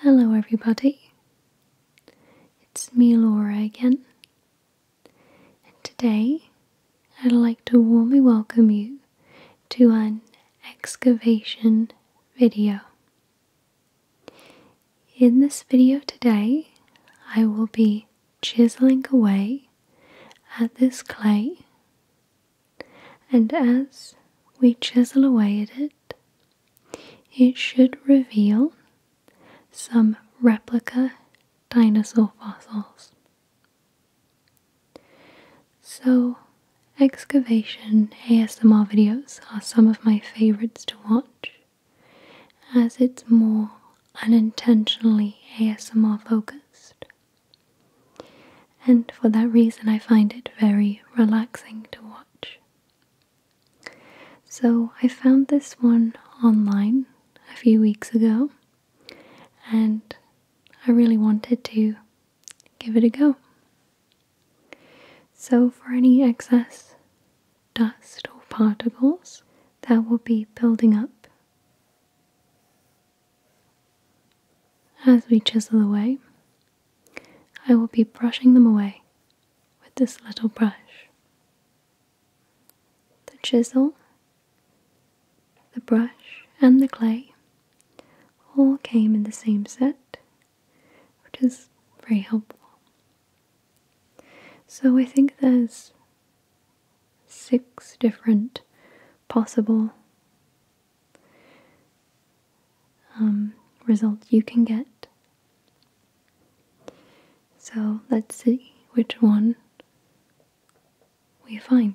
Hello, everybody. It's me, Laura, again. And today I'd like to warmly welcome you to an excavation video. In this video today, I will be chiseling away at this clay, and as we chisel away at it, it, should reveal some replica dinosaur fossils. So, excavation ASMR videos are some of my favorites to watch as it's more unintentionally ASMR focused. And for that reason, I find it very relaxing to watch. So I found this one online a few weeks ago and I really wanted to give it a go. So for any excess dust or particles that will be building up as we chisel away, I will be brushing them away with this little brush. The chisel, the brush, and the clay all came in the same set, which is very helpful. So I think there's six different possible um, result you can get. So let's see which one we find.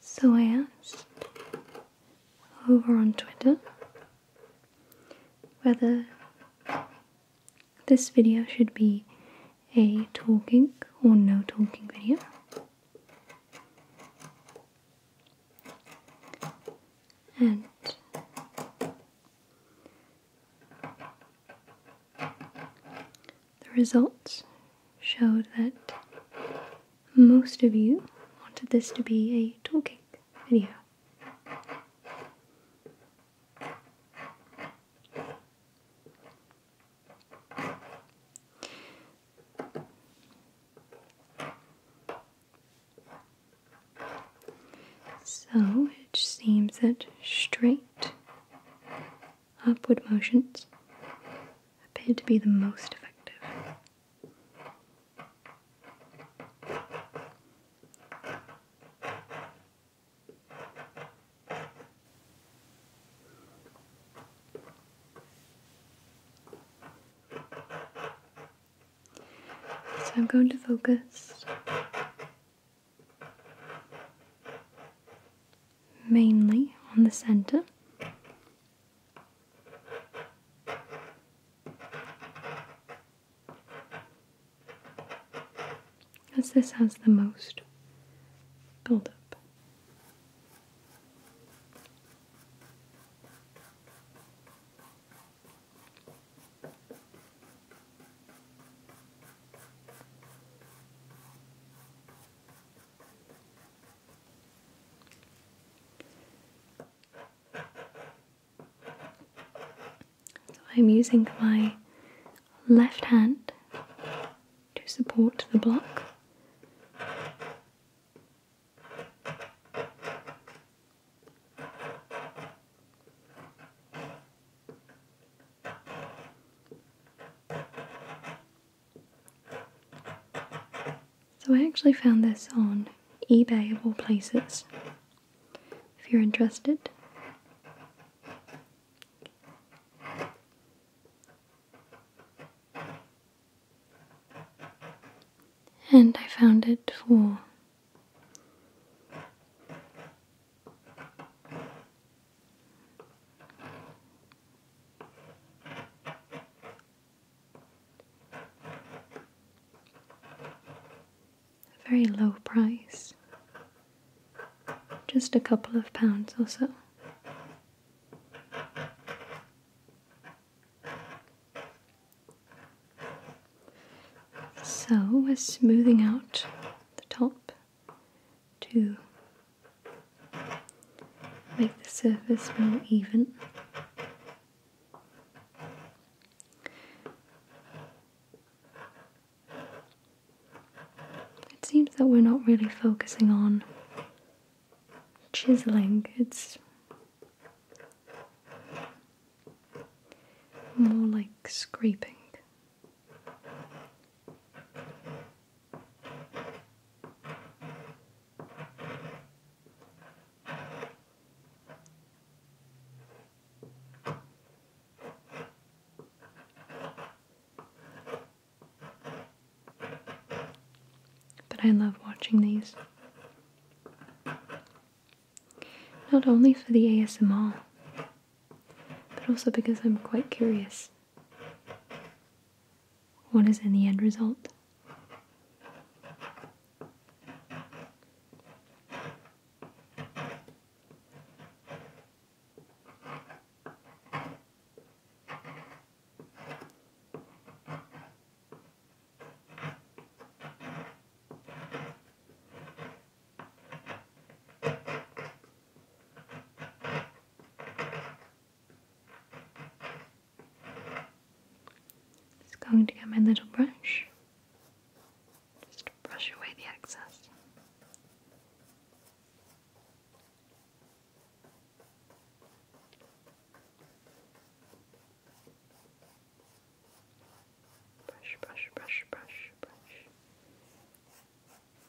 So I asked over on Twitter whether this video should be a talking or no talking video. And the results showed that most of you wanted this to be a tool cake anyhow. So it seems that straight upward motions appear to be the most effective. So I'm going to focus mainly on the center. As this has the most buildup. So I'm using my left hand to support the block. So I actually found this on eBay of all places. If you're interested. And I found it for a very low price, just a couple of pounds also. So we're smoothing out the top to make the surface more even. It seems that we're not really focusing on chiseling, it's more like scraping. But I love watching these. Not only for the ASMR, but also because I'm quite curious. What is in the end result? Just going to get my little brush, just brush away the excess. Brush, brush, brush, brush, brush.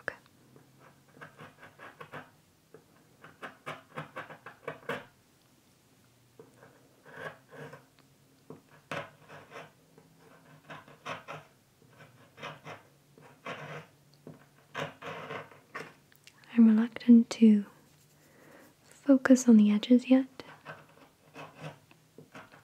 Okay. I'm reluctant to focus on the edges yet.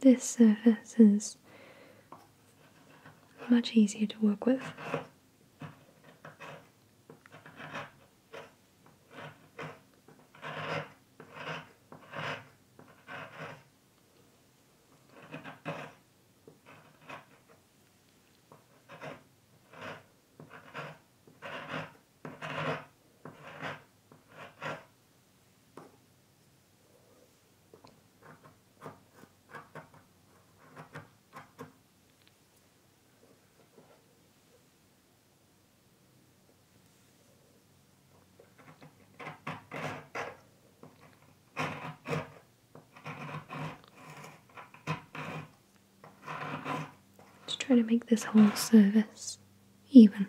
This surface is much easier to work with. To try to make this whole service even.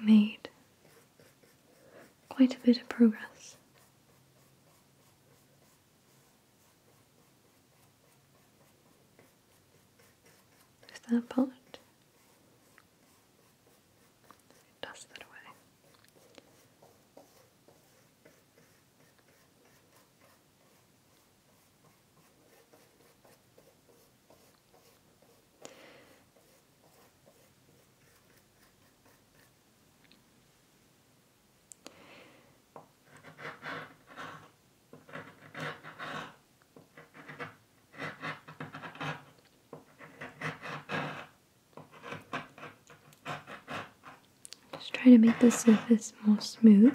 We made quite a bit of progress. There's that part. Dust that away. Just try to make the surface more smooth.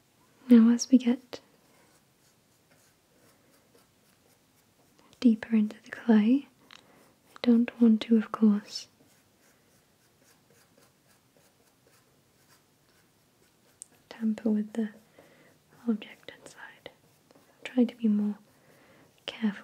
Now, as we get deeper into the clay, I don't want to, of course, tamper with the object inside. I'll try to be more careful.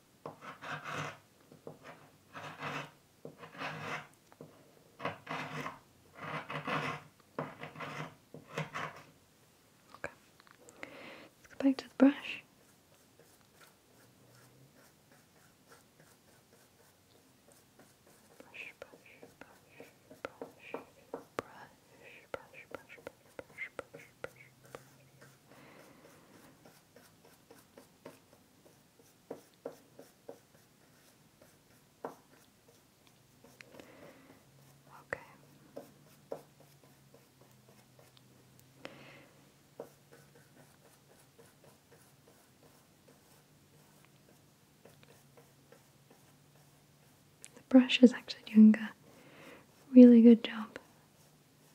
Okay. Let's go back to the brush. Brush, brush, brush, brush, brush, brush, brush, brush, brush, brush, brush, brush. Okay. The brush is actually doing a really good job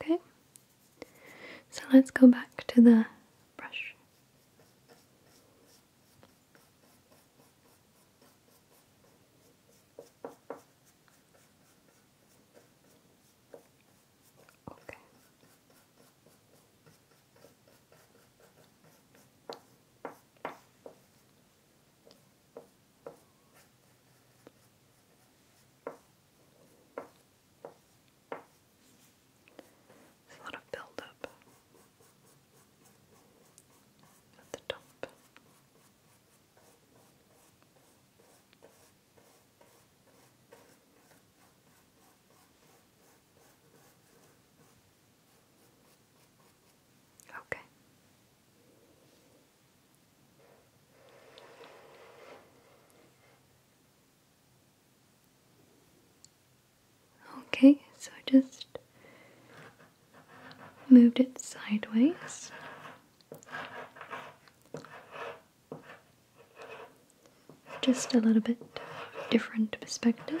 Okay, so let's go back to the brush. Okay. There's a lot of buildup at the top. Okay. Okay, so just moved it sideways. Just a little bit different perspective.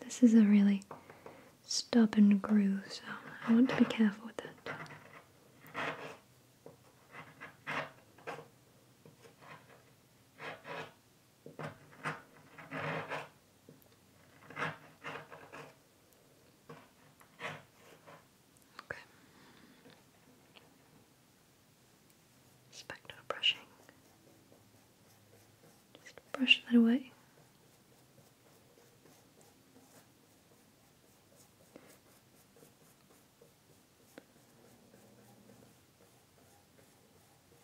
This is a really stubborn groove, so I want to be careful with that. Okay. Just brushing. Just brush that away.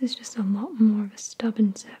This is just a lot more of a stubborn surface.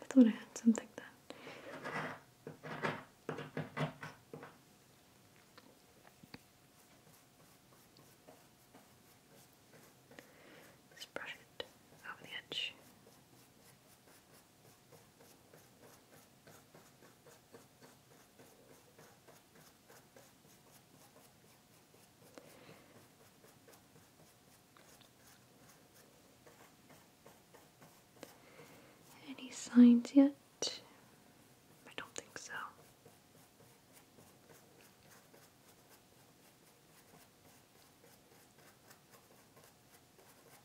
I thought I had something there. Just brush it over the edge. Any signs yet? I don't think so.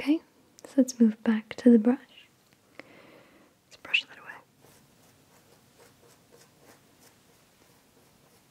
Okay, so let's move back to the brush. Let's brush that away.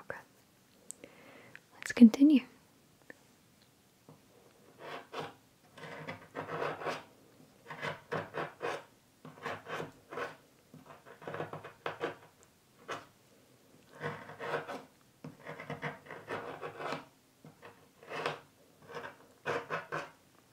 Okay. Let's continue.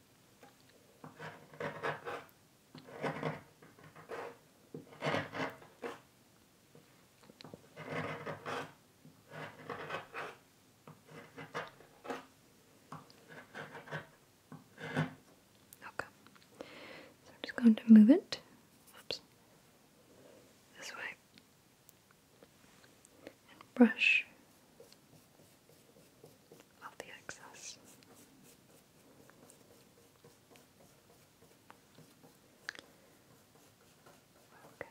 Okay. So I'm just going to move it. Oops. This way. And brush of the excess. Okay. Okay.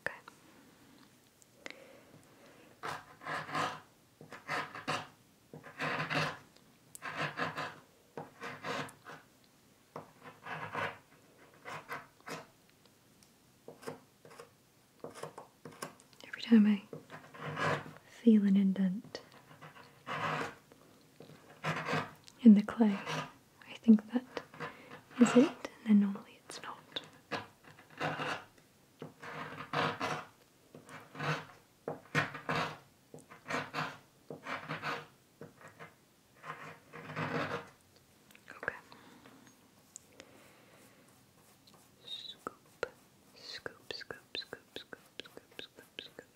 Okay. Every time I feel an indent in the clay, I think that is it, and then normally it's not. Okay. Scoop, scoop, scoop, scoop, scoop, scoop, scoop, scoop.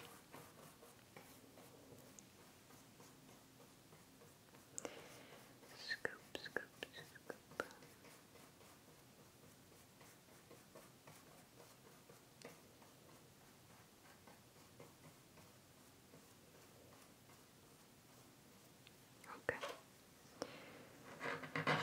Scoop, scoop, scoop. Okay.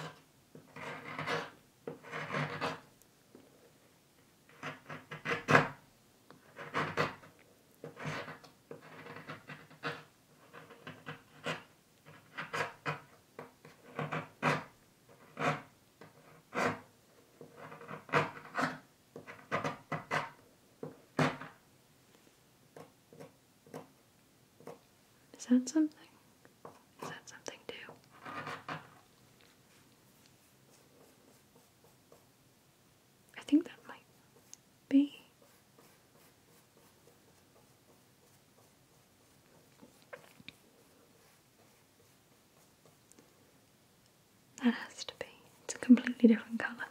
Is that something? Is that something too? I think that might be. That has to be. It's a completely different colour.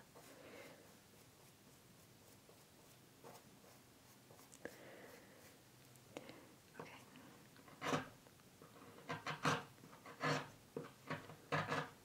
Okay.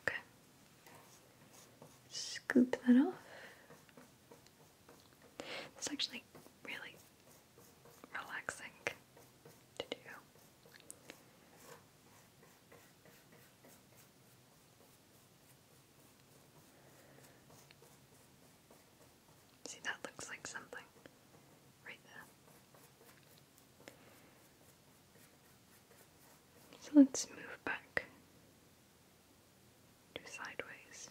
Okay. Scoop that off. It's actually really relaxing to do. See, that looks like something right there. So let's move back do sideways.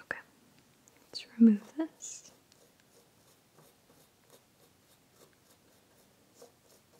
Okay, let's remove this.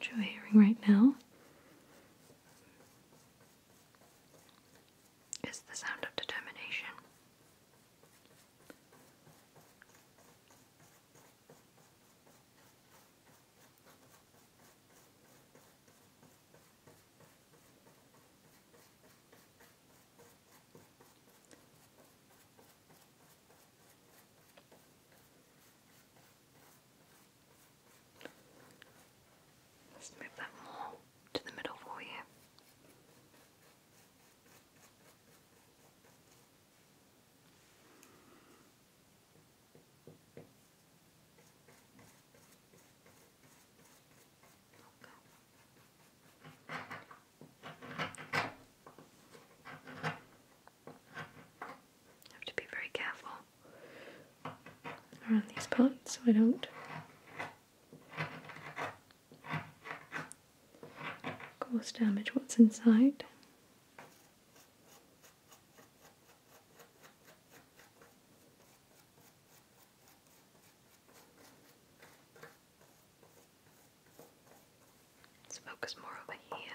what you're hearing right now is the sound of determination. Let's move that more to the middle for you have to be very careful around these parts so I don't cause damage what's inside. Let's focus more over here.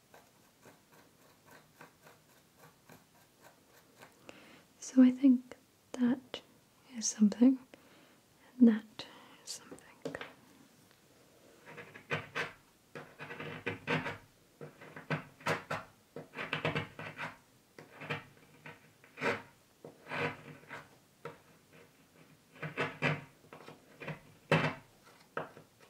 So I think that is something, and that is something.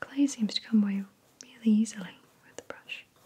The clay seems to come away really easily with the brush.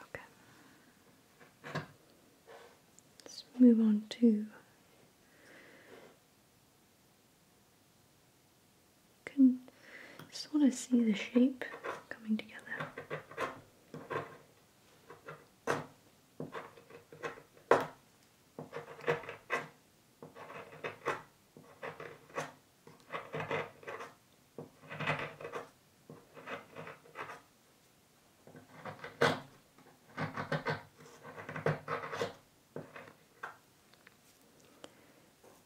Okay. Let's move on to you just want to see the shape coming together.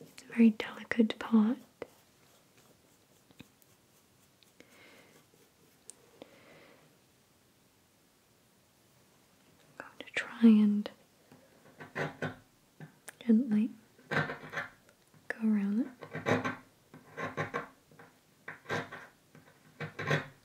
It's a very delicate part. i to try and gently go around it.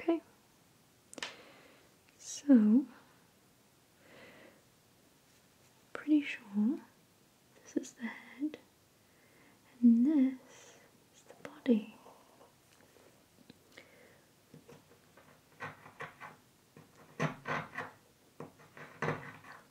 Okay. So, pretty sure this is the head and this is the body.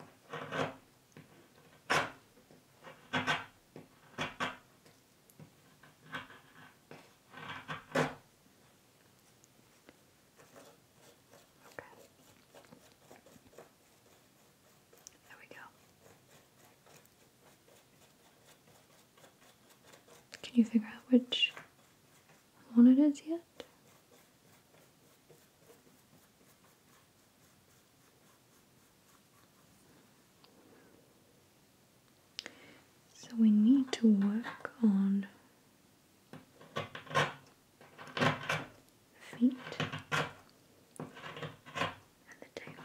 There we go. Can you figure out which one it is yet? So we need to work on feet and the tail.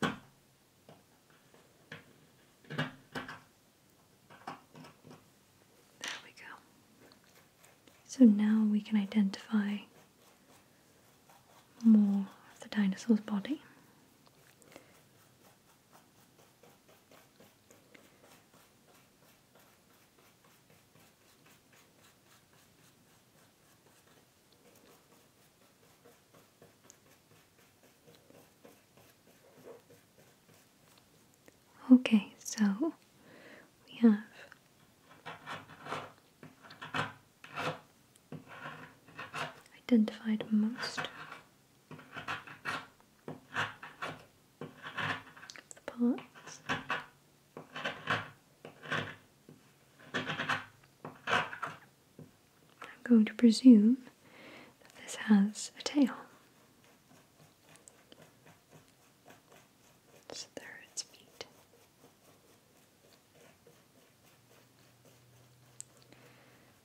There we go. So now we can identify more of the dinosaur's body. Okay, so we have identified most of the parts. I'm going to presume that this has a tail. So there its feet.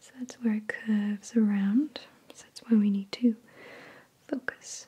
So that's where it curves around. So that's why we need to focus.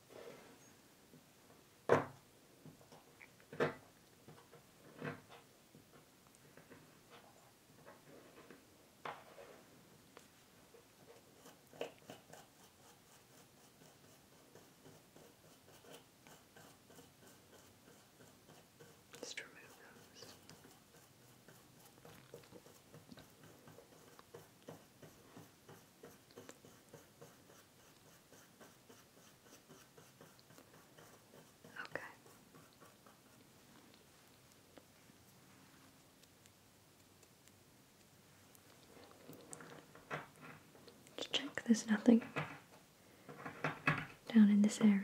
Just remove those. Okay. Just check there's nothing down in this area.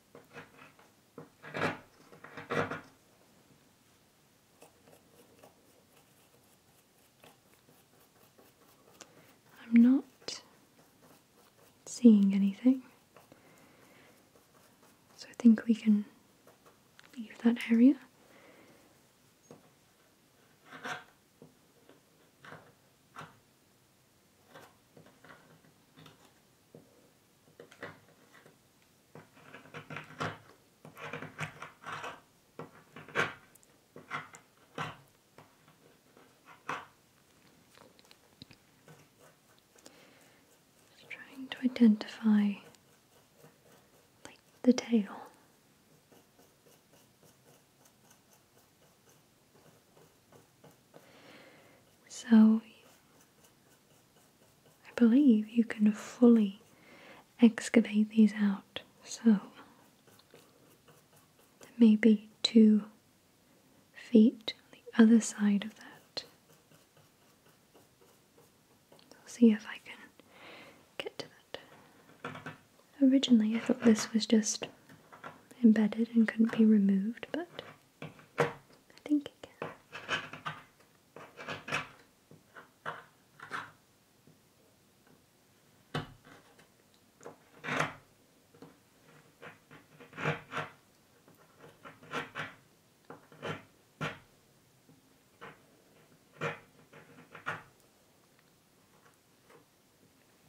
I'm not seeing anything, so I think we can leave that area trying to identify like the tail. So, I believe you can fully excavate these out. So, maybe two feet on the other side of that. I'll see if I can get to that. Originally, I thought this was just embedded and couldn't be removed, but I think it can.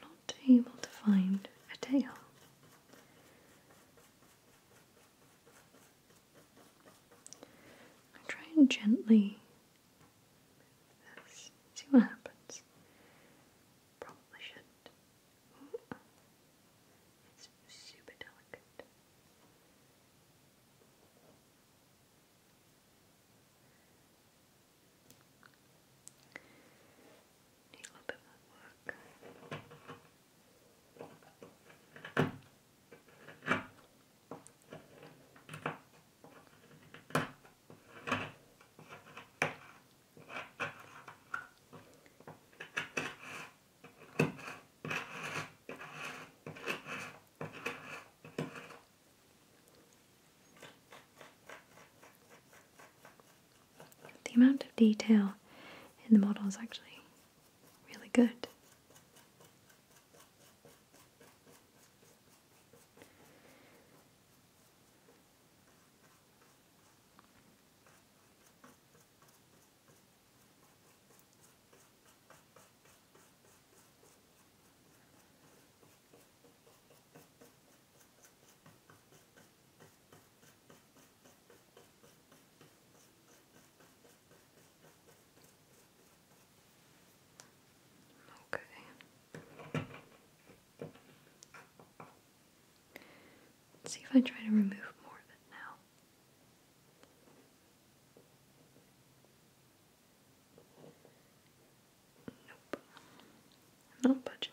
not able to find a tail. try and gently see what happens. Probably should. It's super delicate. Need a little bit more work. The amount of detail in the model is actually really good. Okay. see if I try to remove more of it now. Nope. Not budging.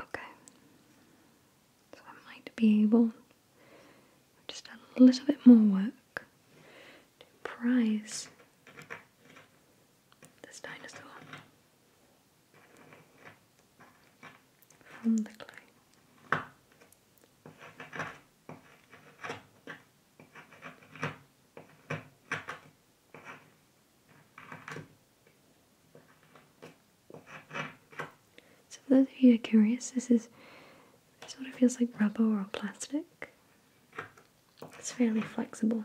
Okay, so I might be able just a little bit more work to prize this dinosaur from the clay. So for those of you who are curious, this is sort of feels like rubber or plastic. It's fairly flexible.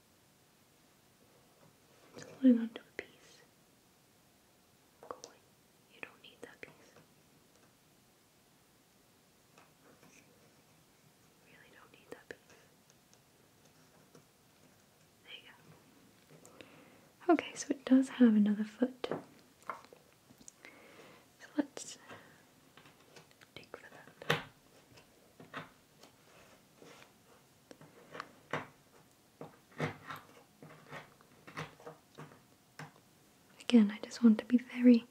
Holding onto a piece. You don't need that piece. Really don't need that piece. There you go. Okay, so it does have another foot. let's dig for that. Again, I just want to be very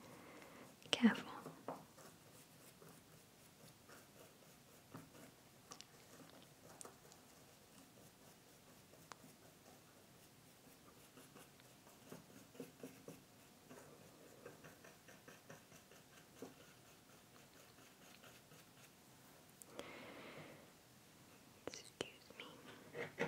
careful. Excuse me. Okay.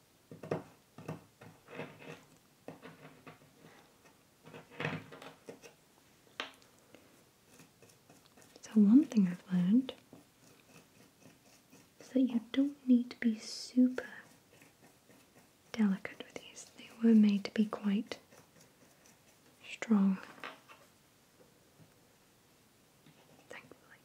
So, one thing I've learned is that you don't need to be super delicate with these, they were made to be quite strong, thankfully.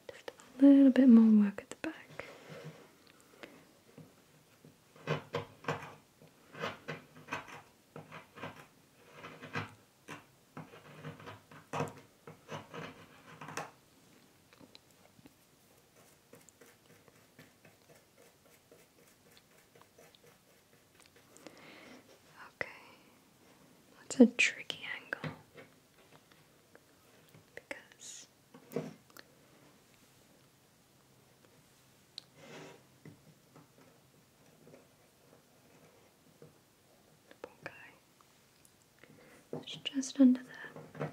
Just a little bit more work at the back. Okay. That's a tricky angle because poor It's just under there.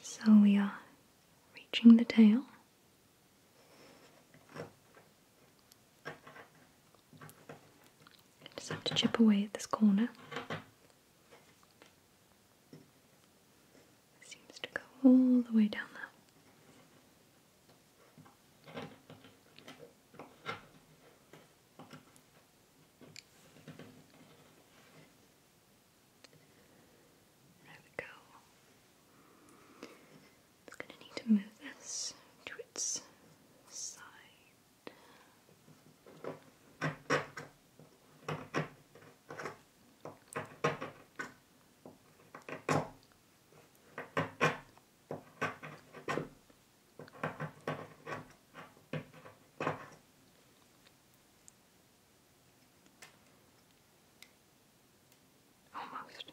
So we are reaching the tail. Just have to chip away at this corner seems to go all the way down there. There we go. It's going to need to move this to its side. Almost.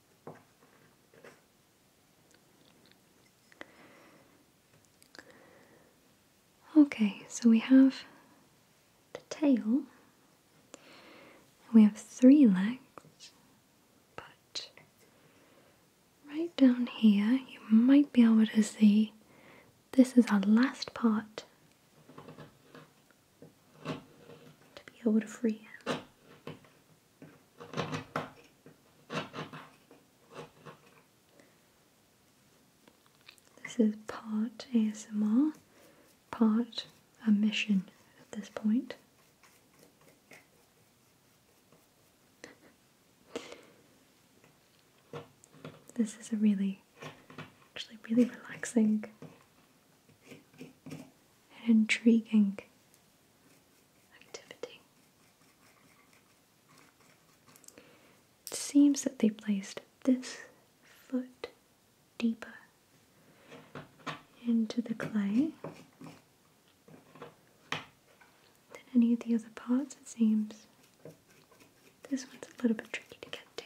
Okay, so we have the tail. We have three legs, but right down here you might be able to see this is our last part to be able to free him. This is part ASMR, part a mission at this point. This is a really, actually, really relaxing and intriguing it seems that they placed this foot deeper into the clay than any of the other parts, it seems. This one's a little bit tricky to get to.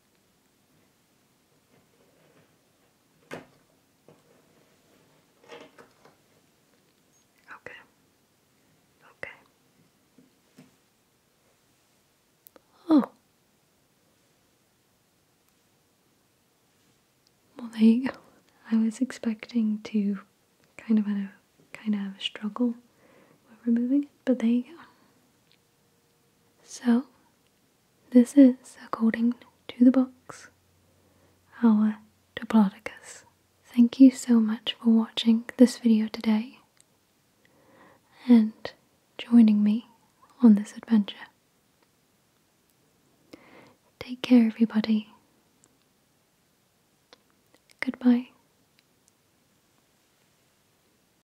Okay. Okay. Oh. Well, there you go. I was expecting to kind of have kind of have a struggle with removing it, but there you go. So, this is, according to the box, our Diplodocus. Thank you so much for watching this video today and joining me on this adventure. Take care, everybody. Goodbye.